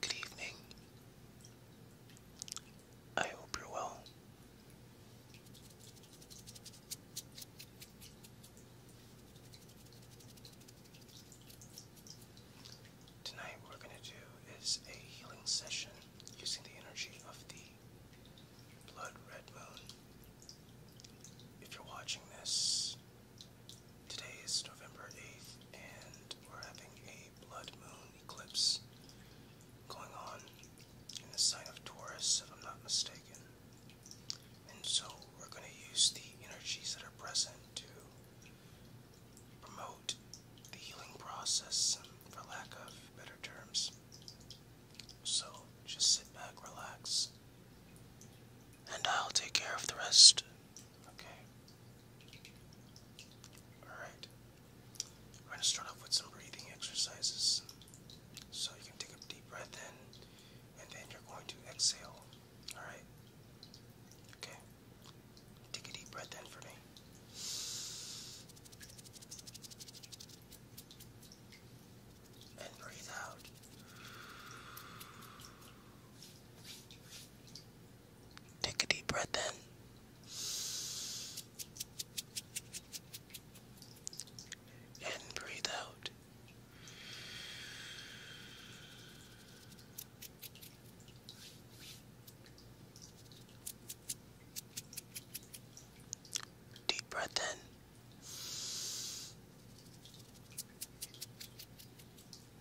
Good evening. I hope you're well. Tonight, we're going to do is a healing session using the energy of the Blood Red Moon. If you're watching this Today is November 8th, and we're having a blood moon eclipse going on in the sign of Taurus, if I'm not mistaken. And so we're going to use the energies that are present to promote the healing process, for lack of better terms. So just sit back, relax, and I'll take care of the rest. Okay. Alright. I'm going to start off with some breathing exercises. So you can take a deep breath in, and then you're going to exhale. Alright? Okay. Take a deep breath in for me. And breathe out. Take a deep breath in. And breathe out. Deep breath in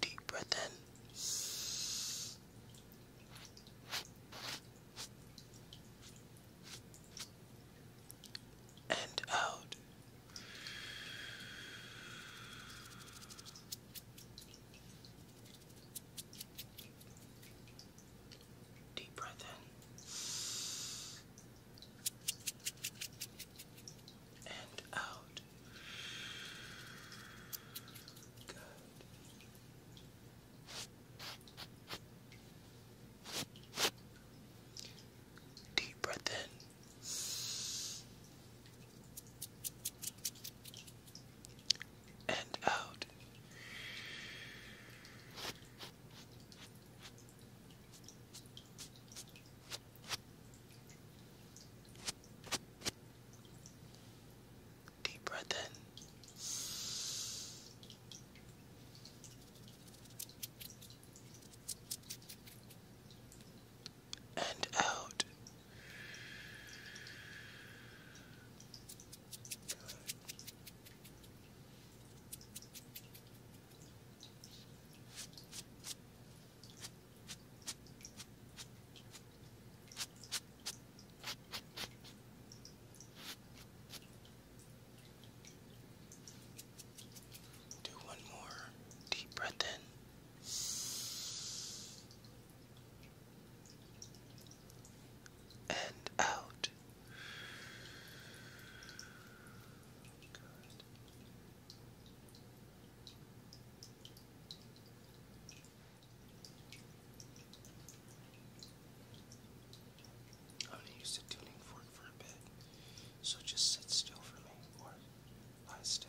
Deep breath in. And out. Deep breath in and out. Good. Deep breath in. And out. Deep breath in. And out. Do one more deep breath in and out. I'm going to use the tuning fork for a bit, so just sit still for me or lie still.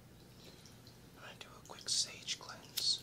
I'm going to do a quick sage cleanse.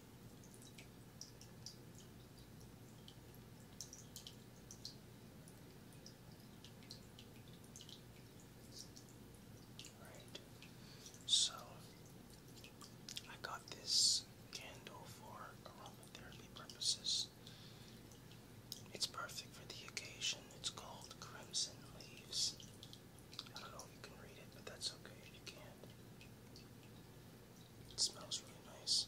So I got this candle for aromatherapy purposes. It's perfect for the occasion. It's called Crimson Leaves. I don't know if you can read it, but that's okay if you can't. It smells really nice.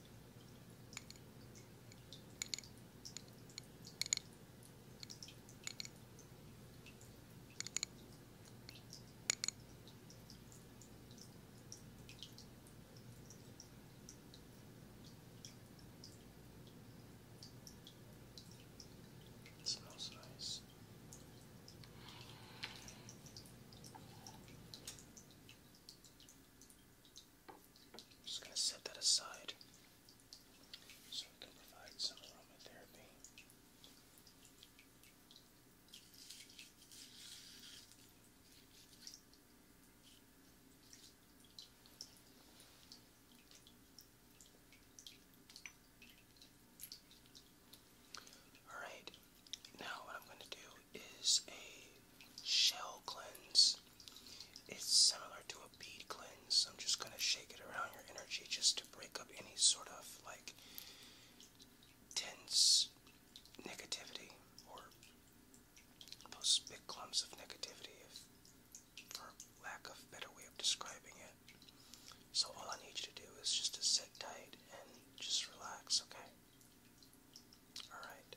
It smells nice. I'm just going to set that aside so we can provide some aromatherapy. All right, now what I'm going to do is a shell cleanse. It's similar to a bead cleanse. I'm just gonna shake it around your energy just to break up any sort of like tense negativity or those big clumps of negativity, for lack of better way of describing it. So all I need you to do is just to sit tight and just relax, okay? Alright.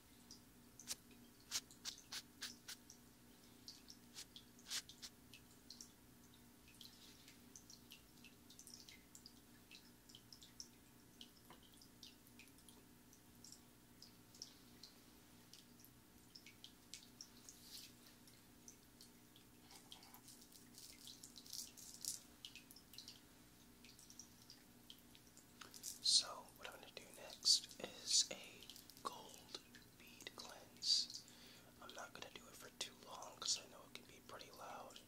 So, what I'm going to do next is a gold bead cleanse. I'm not going to do it for too long because I know it can be pretty loud.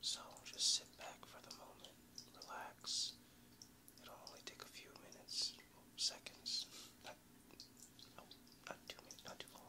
So just sit back for the moment, relax. It'll only take a few minutes, seconds. Not, oh, not too minutes, not too long.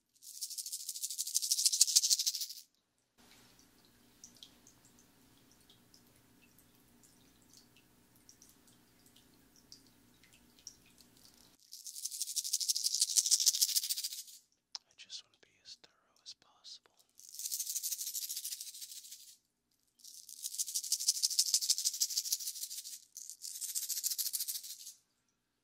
I just want to be as thorough as possible.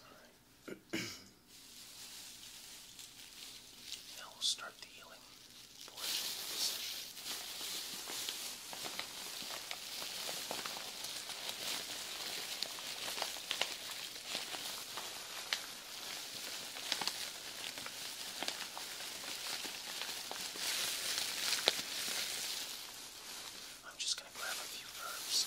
All right. now start the healing portion I'm just going to grab a few herbs.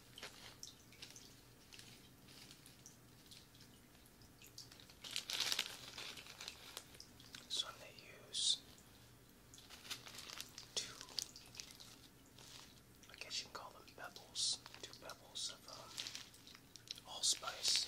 So i use two, I guess you can call them pebbles, two pebbles of uh, allspice.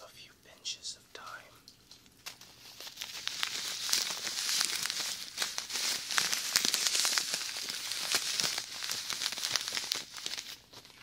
A few pinches of time.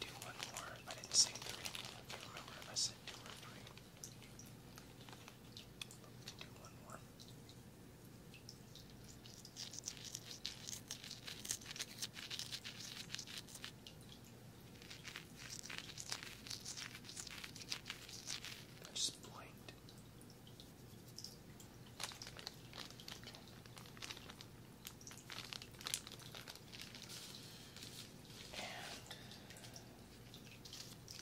do one more. I didn't say three. I can't remember if I said two or three. do one more. I just blinked and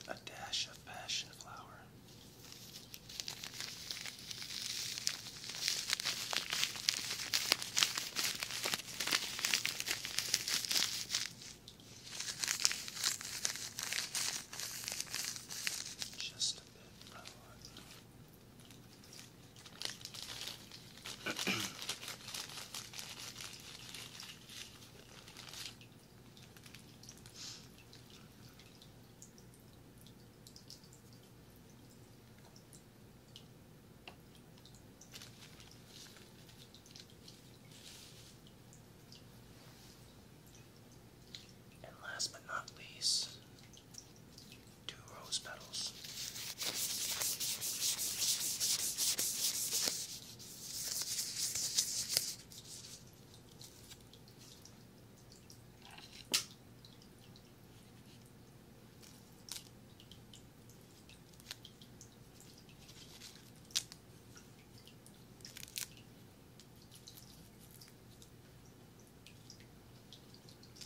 a dash of passion flower. Just a bit and last but not least, two rose petals.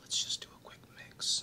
Let's just do a quick mix.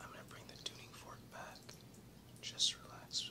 I'm going to bring the tuning fork back. Just relax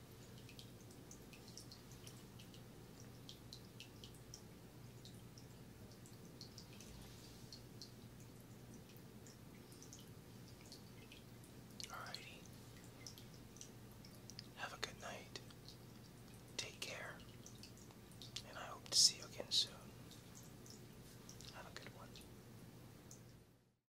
Alrighty. Have a good night. Take care. And I hope to see you again soon. Have a good one.